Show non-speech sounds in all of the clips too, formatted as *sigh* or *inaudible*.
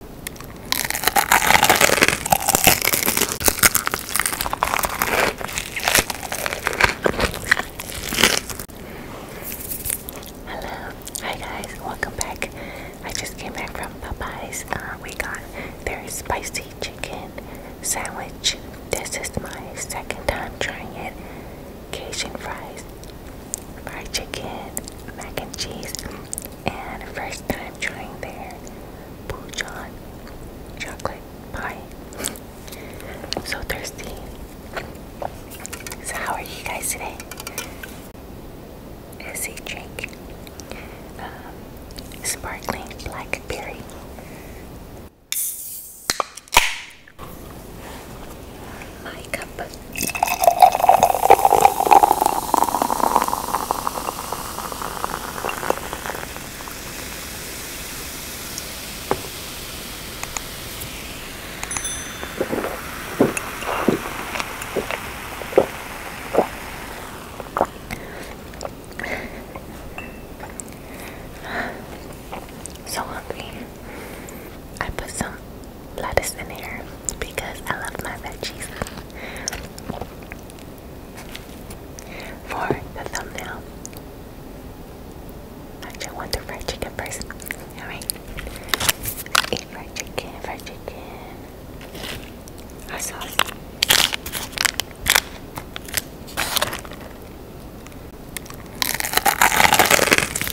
Hello, hi guys, welcome back. I just came back from Popeyes. Uh, we got their spicy chicken sandwich. This is my second time trying it. Cajun fries, fried chicken, mac and cheese, and first time trying their Pujan chocolate pie. I'm *laughs* so thirsty. So how are you guys today? Is a drink um, sparkling blackberry my cup. So hungry. I put some lettuce in here because I love my veggies. For the thumbnail, actually, I want the fried chicken first. Alright, fried chicken, fried chicken, hot sauce.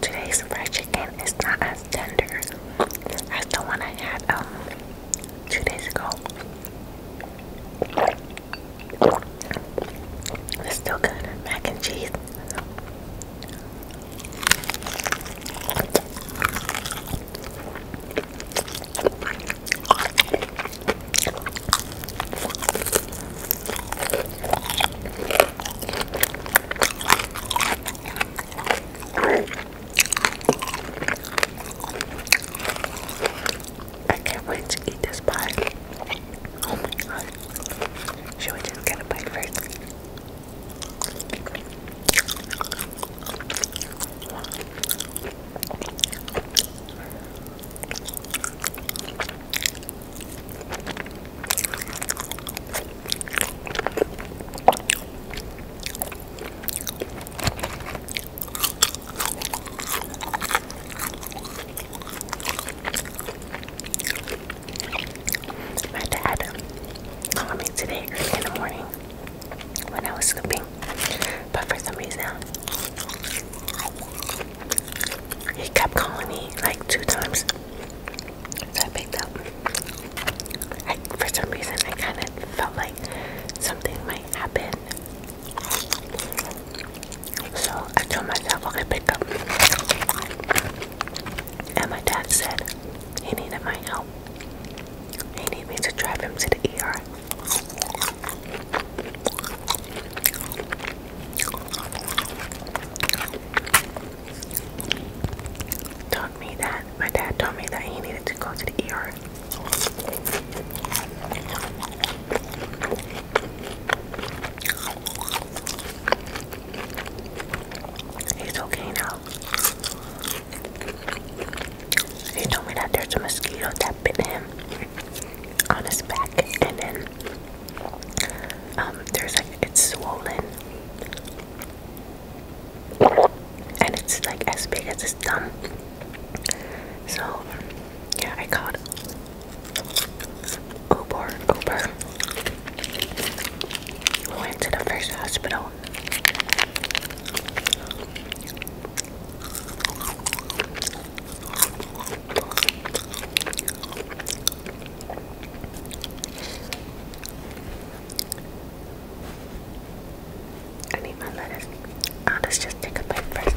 Today's fried chicken is not as tender as the one I had um, two days ago. It's still good. Mac and cheese. I can't wait to eat this pie. Oh my god. Should we just get a bite first? My dad called me today early in the morning when I was sleeping, but for some reason he kept calling me like two times. So I picked up. for some reason, I kind of felt like something might happen. So I told myself, I okay, pick up. And my dad said he needed my help. He needed me to drive him to the ER. Told me that my dad told me that he needed to go to the ER. He's okay now. He told me that there's a mosquito that bit him on his back, and then um, there's like it's swollen, and it's like as big as his thumb. So, yeah, I called Uber. Uber. We went to the first hospital I need my lettuce. let's just take a bite first.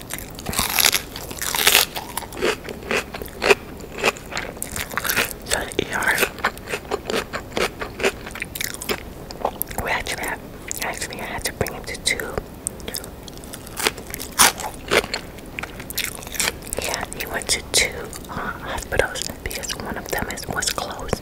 So the we actually had, actually I had to bring him to two. Yeah, he went to two uh, hospitals because one of them is, was closed.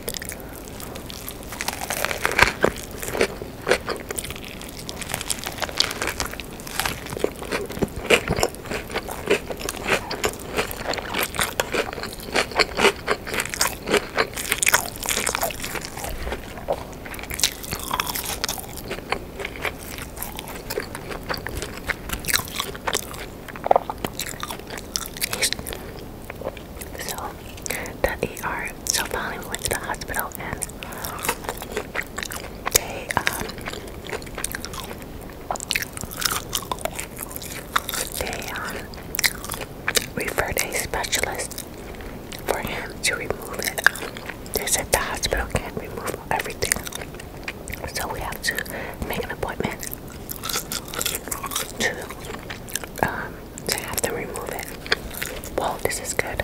So the ER. So finally we went to the hospital. Hilton. They um they um referred a specialist for him to remove it. They said the hospital can't remove everything. So we have to make an appointment to um to have them remove it. Well, this is good.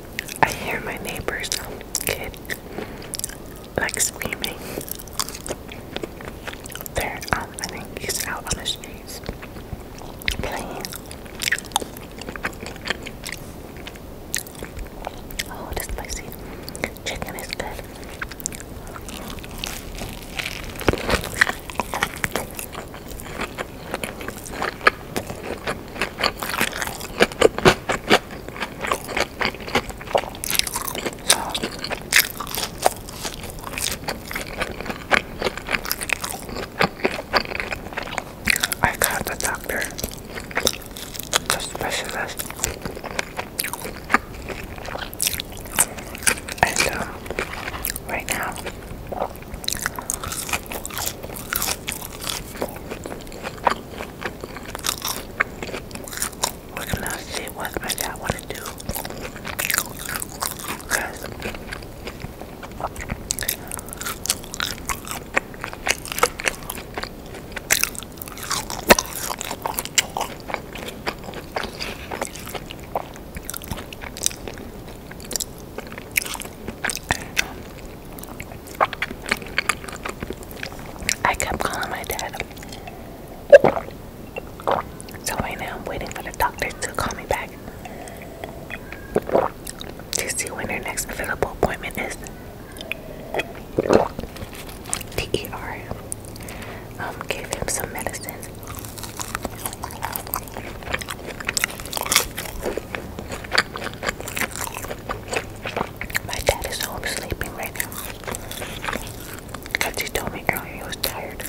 I hear my neighbor's kid like screaming. They're um, I think out on the streets playing. Oh, it is spicy. Chicken is good. I got the doctor, the specialist, and uh, right now we're gonna see what I got want to do. I kept calling my dad. So right now I'm waiting for the doctor to call me back to see when their next available appointment is. The um, gave him some medicine. My dad is home sleeping right now. Cause he told me earlier he was tired.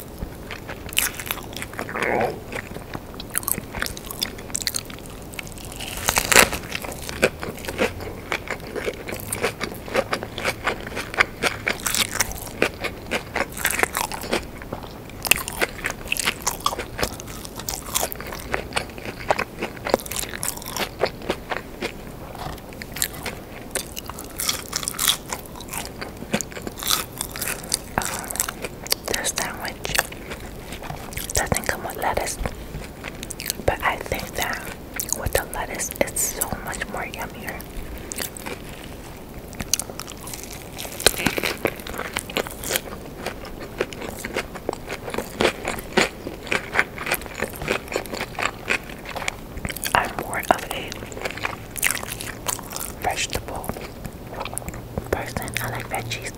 This sandwich doesn't come with lettuce, but I think that with the lettuce, it's so much more yummier. I'm more of a vegetable person. I like veggies.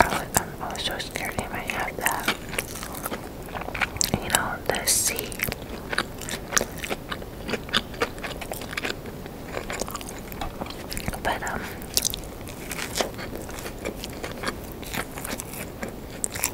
I, I'm also scared they might have that. You know, the sea. But, um,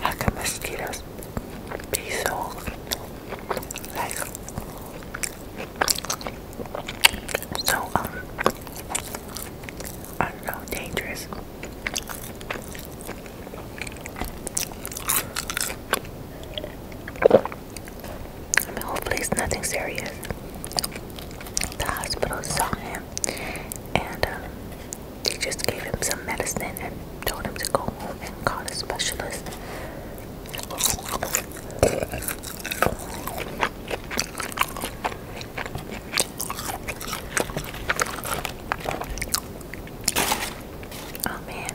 How can mosquitoes be so like so um I don't know dangerous? I mean, hopefully it's nothing serious. The hospital saw him and um, they just gave him some medicine and told him to go home and call a specialist. Oh man.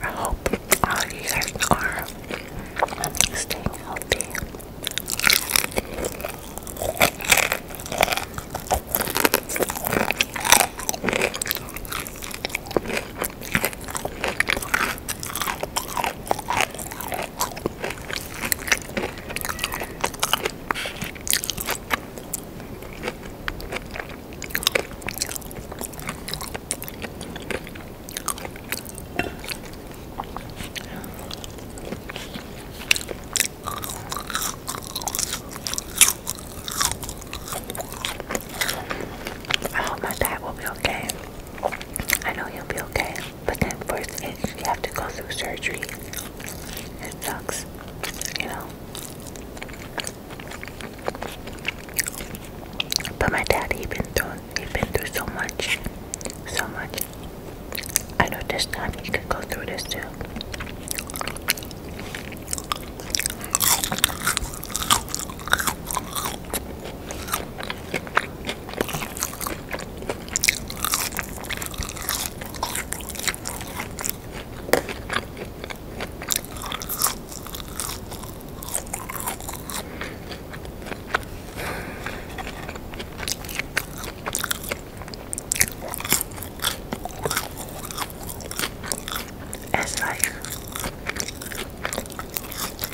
I hope all you guys are staying healthy. I hope my dad will be okay. I know he'll be okay, but then first, you have to go through surgery. It sucks, you know. But my dad, he been through, he been through so much, so much. I know this time he could go through this too.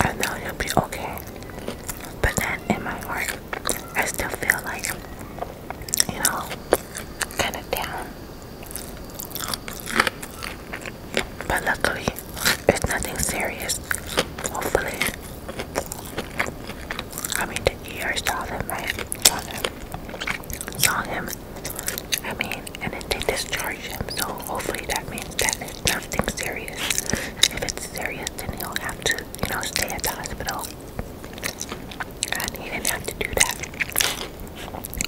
I know you'll be okay, but in my heart. I still feel like you know, kind of down. But luckily, it's nothing serious. Hopefully, I mean, the ER saw them, Saw them. Saw him. I mean, and they discharged him. So hopefully, that means that it's nothing serious. If it's serious, then he'll have to, you know, stay at the hospital he didn't have to do that.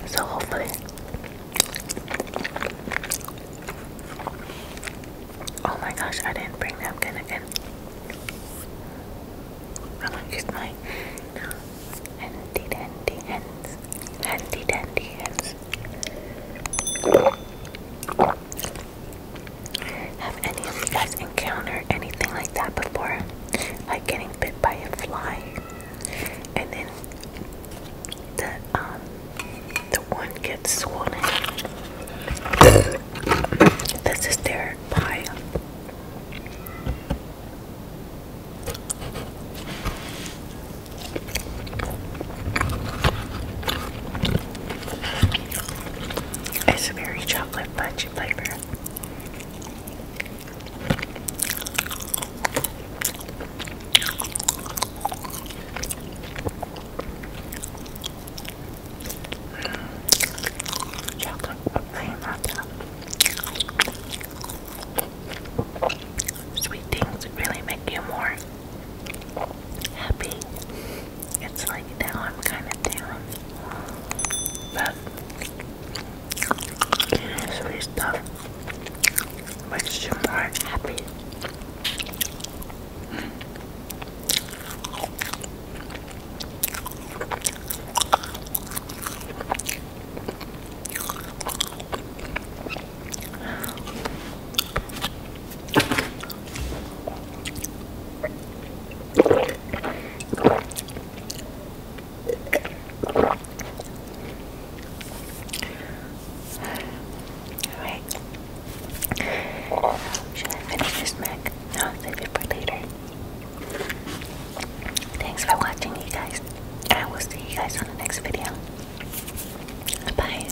So hopefully, oh my gosh, I didn't bring that gun again. I'm gonna use my handy dandy hands, handy dandy hands. Have any of you guys encountered anything like that before? Like getting bit by a fly, and then the um the one gets swollen. this is their pile. It's very chocolate Bunch of flavor. Mm. Chocolate plain Sweet things really make you more happy. It's like now I'm kind of down. But usually stuff makes you more happy. Should I finish this mac? No, save it for later. Thanks for watching, you guys. I will see you guys on the next video. Bye.